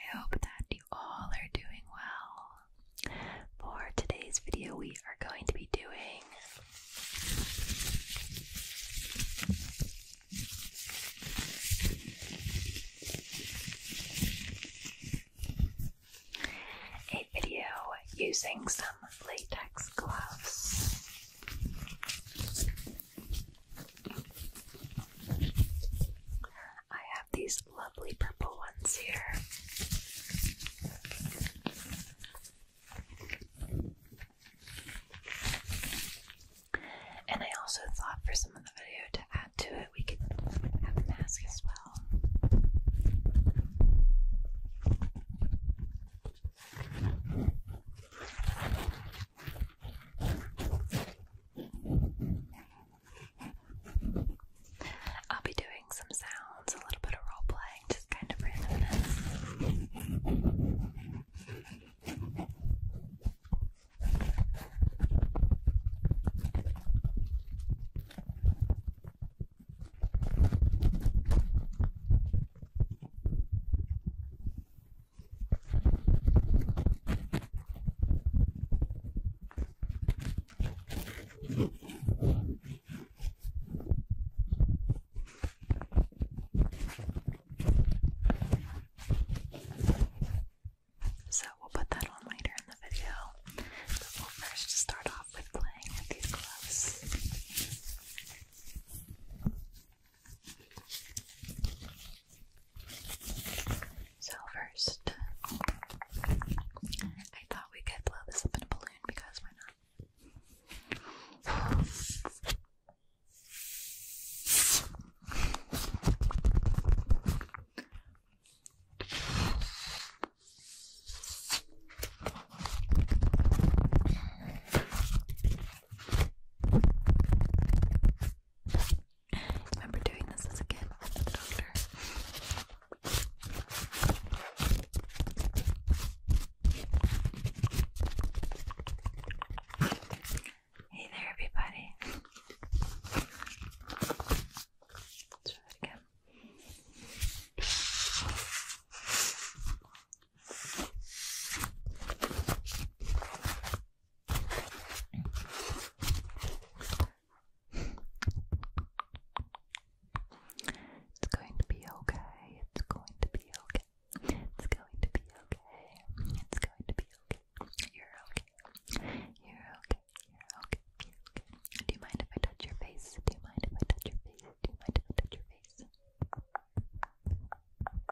I hope that you all are doing well. For today's video, we are going to be doing a video using some latex gloves. I have these lovely purple ones here. And I also thought for some of the video to add to it, we could have a mask as well. I'll be doing some sounds, a little bit of role playing, just kind of randomness. So we'll put that on later in the video. But we'll first start off with playing with these gloves. So first, I thought we could blow this up in a balloon because why not? I remember doing this as a kid at the doctor. Hey there, everybody. Let's try that again. It's going to be okay. It's going to be okay. It's going to be okay. It's going to be okay. You're okay. You're okay. You're okay. You're okay. Do you mind if I touch your face? Do you mind if I touch your face? Do you mind if I touch your face?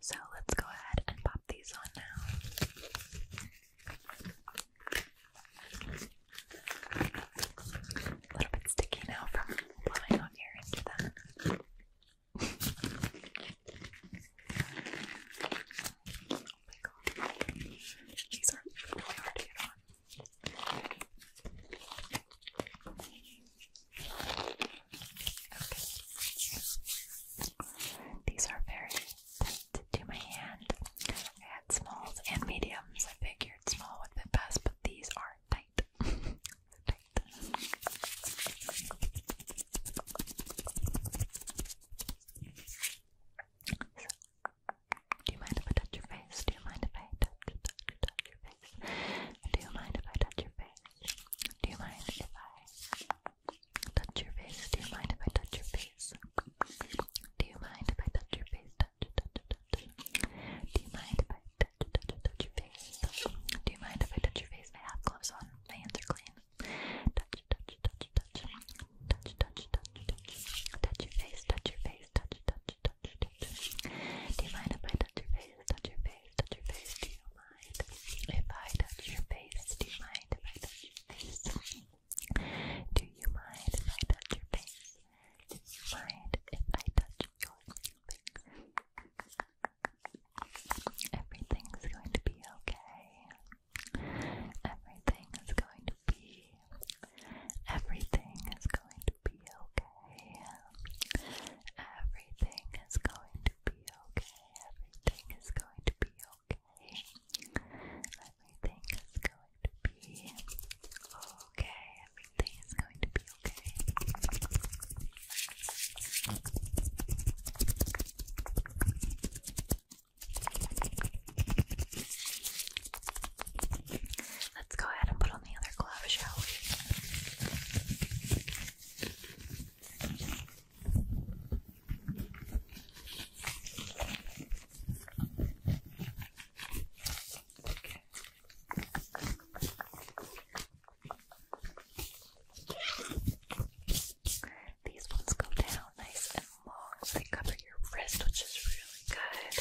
So let's go ahead and pop these on now. A little bit sticky now from blowing out air into these oh are really hard to get on. These are very tight to my hand. I had smalls and mediums. I figured small would be best, but these are tight. Do you mind if I touch your face? Do you mind if I touch, touch, touch your face? Do you mind if I touch your face? Do you mind if I touch your face? Do you mind if I touch your face? Do you mind if I touch your face? Touch, touch, touch. Do you mind if I touch, touch, touch your face? Do you mind if I touch your face? I have gloves on. My hands are clean. Touch, touch, touch, touch, touch, touch, touch, touch, touch your face, touch your face, touch, touch, touch, touch. Do you mind if I touch your face, touch your face, touch your face? Do you mind if I touch your face? Do you mind if I touch your face? Do you mind if I touch your face? Do you mind if I touch your face? Everything's going to be okay. Everything is going to be everything is going to be okay. Everything is going to be okay. Everything is going to be okay. Everything is going to be okay. Everything is going to be okay. Let's go ahead and put on the other glove, shall we? These ones go down nice and they cover your wrist, which is really good. It's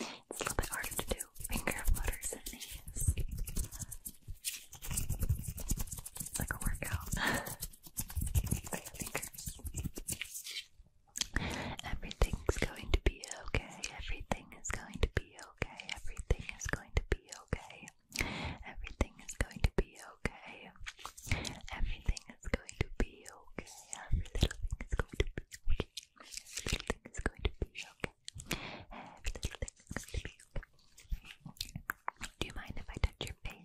a little bit harder to do finger flutters than these. It's like a workout. fingers. Everything's going to be okay. Everything is going to be okay. Everything is going to be okay. Everything is going to be okay. Everything is going to be okay. Every little thing is going to be okay. Every little thing is going to be okay. Every little thing is going to be okay. Do you mind if I touch your face?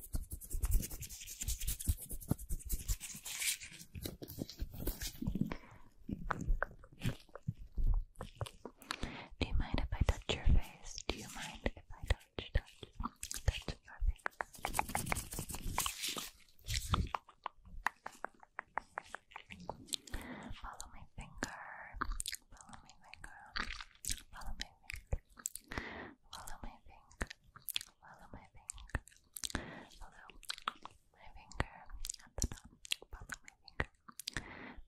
Do you mind if I touch your face? Do you mind if I touch, touch, touch your face? Follow my finger. Follow my finger. Follow my finger. Follow my finger. Follow my finger. Follow my finger at the top. Follow my finger.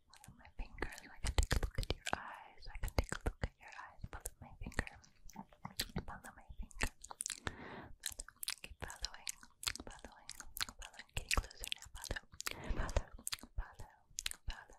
Follow my finger. I can take a look at your eyes. I can take a look at your eyes. Follow my finger. Follow my finger. Follow. Keep following. Following. Following. Getting closer now. Follow. Follow. Follow. Follow.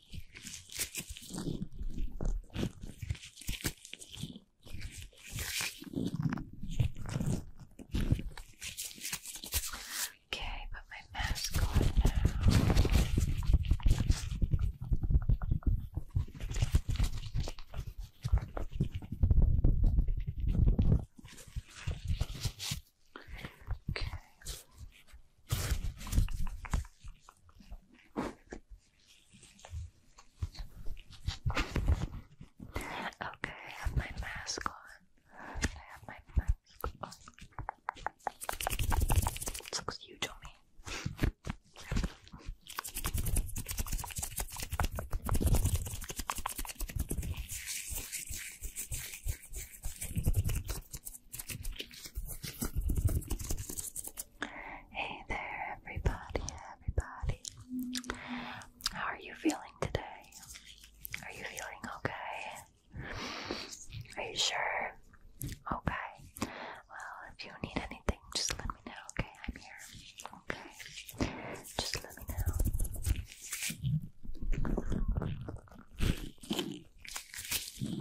Okay, put my mask on now. Okay. Okay, I have my mask on. I have my mask on. looks huge on me. Hey there, everybody, everybody. How are you feeling today? Are you feeling okay? Are you sure? Okay. Well, if you need anything, just let me know, okay? I'm here. Okay. Just let me know. Can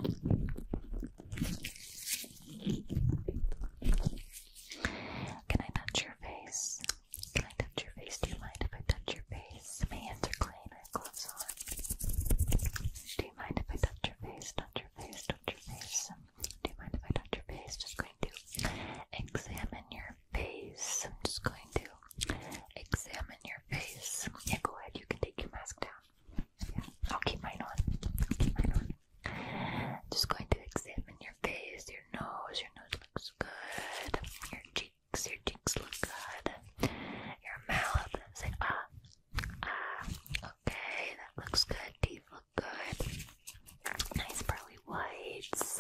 I touch your face? Can I touch your face? Do you mind if I touch your face? My hands are clean, I have gloves on. Do you mind if I touch your face? Touch your face, touch your face. Do you mind if I touch your face? Just going to examine your face. I'm just going to examine your face. Yeah, go ahead. You can take your mask down. I'll keep mine on. I'll keep mine on. Just going to examine your face, your nose. Your nose looks good. Your cheeks, your cheeks look good. Your mouth, say ah, ah. Okay, that looks good. Teeth look good. Nice pearly whites.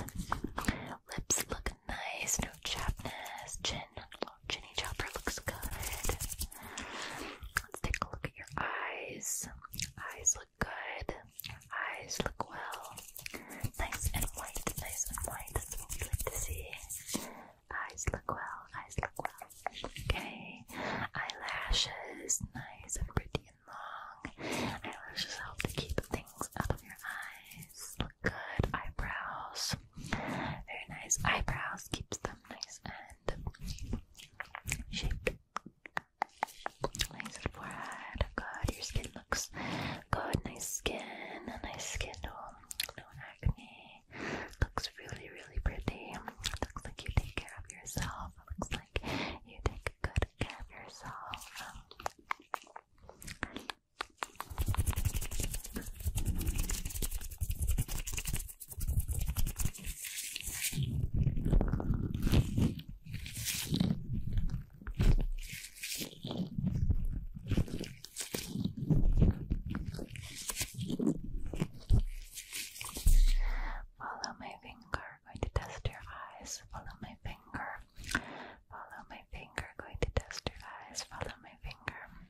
Lips look nice. No chapness. Chin Ginny Chopper looks good. Let's take a look at your eyes. eyes look good. eyes look well. Nice and white. Nice and white. That's what to see. Eyes look well. Eyes look well. Okay. Eyelashes. Nice and pretty and long. Eyelashes help to keep things out of your eyes. Look good. Eyebrows. Very nice. Eyebrows keeps them nice and shake. Nice forehead. Good, your skin looks good. Nice skin, nice skin. No, no acne. Looks really, really pretty. Looks like you take care of yourself. Looks like you take good care of yourself. Follow my finger, going to test your eyes. Follow my finger. Follow my finger, going to test your eyes. Follow my finger.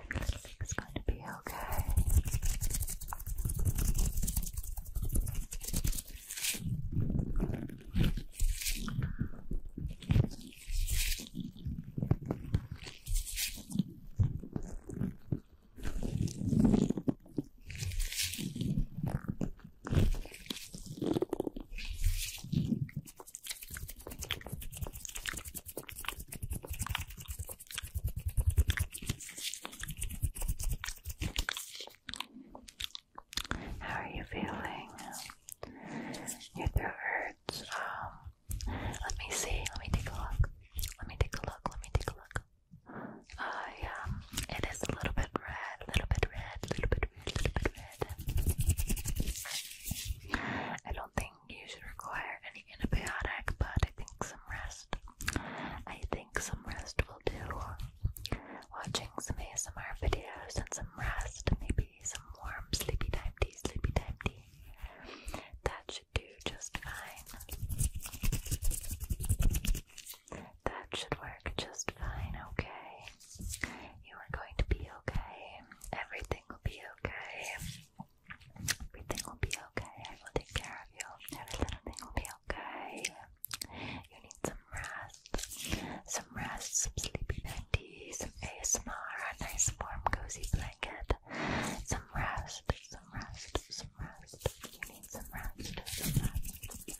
Everything's going to be okay. How are you feeling? Your throat hurts. Um, let me see. Let me take a look. Let me take a look. Let me take a look. Uh, yeah, it is a little bit red, a little bit red, a little bit red, a little bit red. I don't think you should require any antibiotic, but I think some rest. I think some rest will do. Watching some ASMR videos and some rest, maybe some warm sleepy time tea, sleepy time tea. That should do just fine. That should work just fine, okay? You are going to be okay. Everything will be okay. Everything will be okay. I will take care of you. Every little thing will be okay. You need some rest. Some rest, some sleepy nighty, some ASMR, a nice warm cozy blanket. Some rest, some rest, some rest. You need some rest, some rest.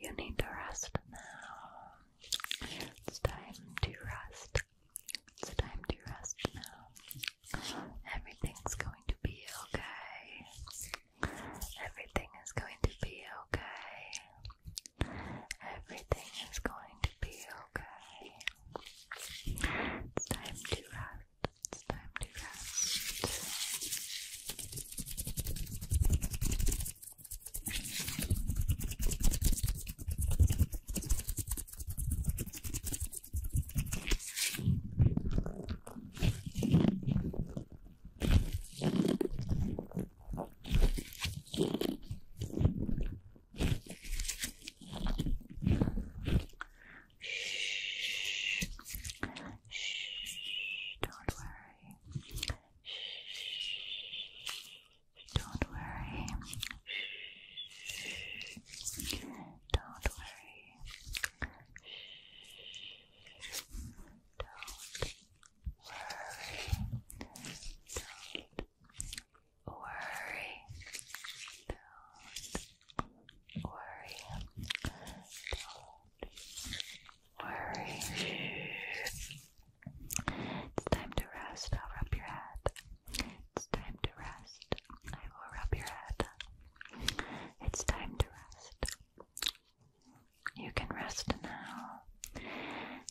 You need to rest now. It's time to rest. It's time to rest now. Everything's going to be okay. Everything is going to be okay. Everything is going to be okay. It's time to rest. It's time to rest. Shh. Shh. Don't worry. Shh. Don't worry. Don't worry. Don't worry. Don't worry. Don't worry. Don't worry. It's time to rest. I'll rub your head. It's time to rest. I will rub your head. It's time to rest. You can rest now.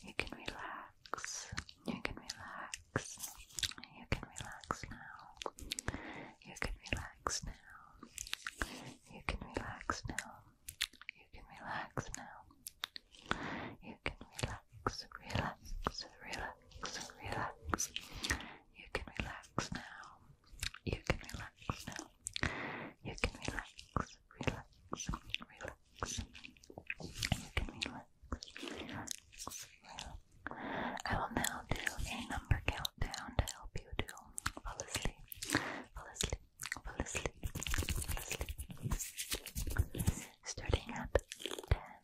You can relax. You can relax. You can relax now. You can relax now. You can relax now. You can relax now. You you can relax, relax, relax, relax. You can relax now. You can relax now. You can relax, relax, relax. You can relax, relax, relax. I will now do a number countdown to help you to fall asleep, fall asleep, fall asleep, fall asleep. Starting at ten,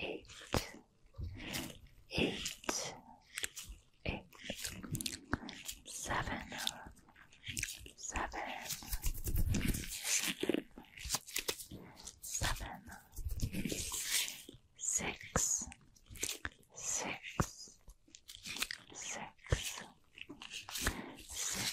eight, eight, eight, seven, seven, seven, seven, six, six, six, six,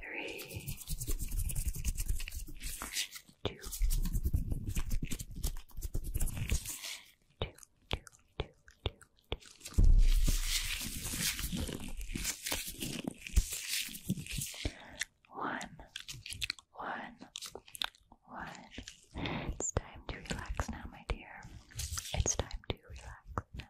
three, two, two, two, It's time to relax now, my dear. It's time to relax now.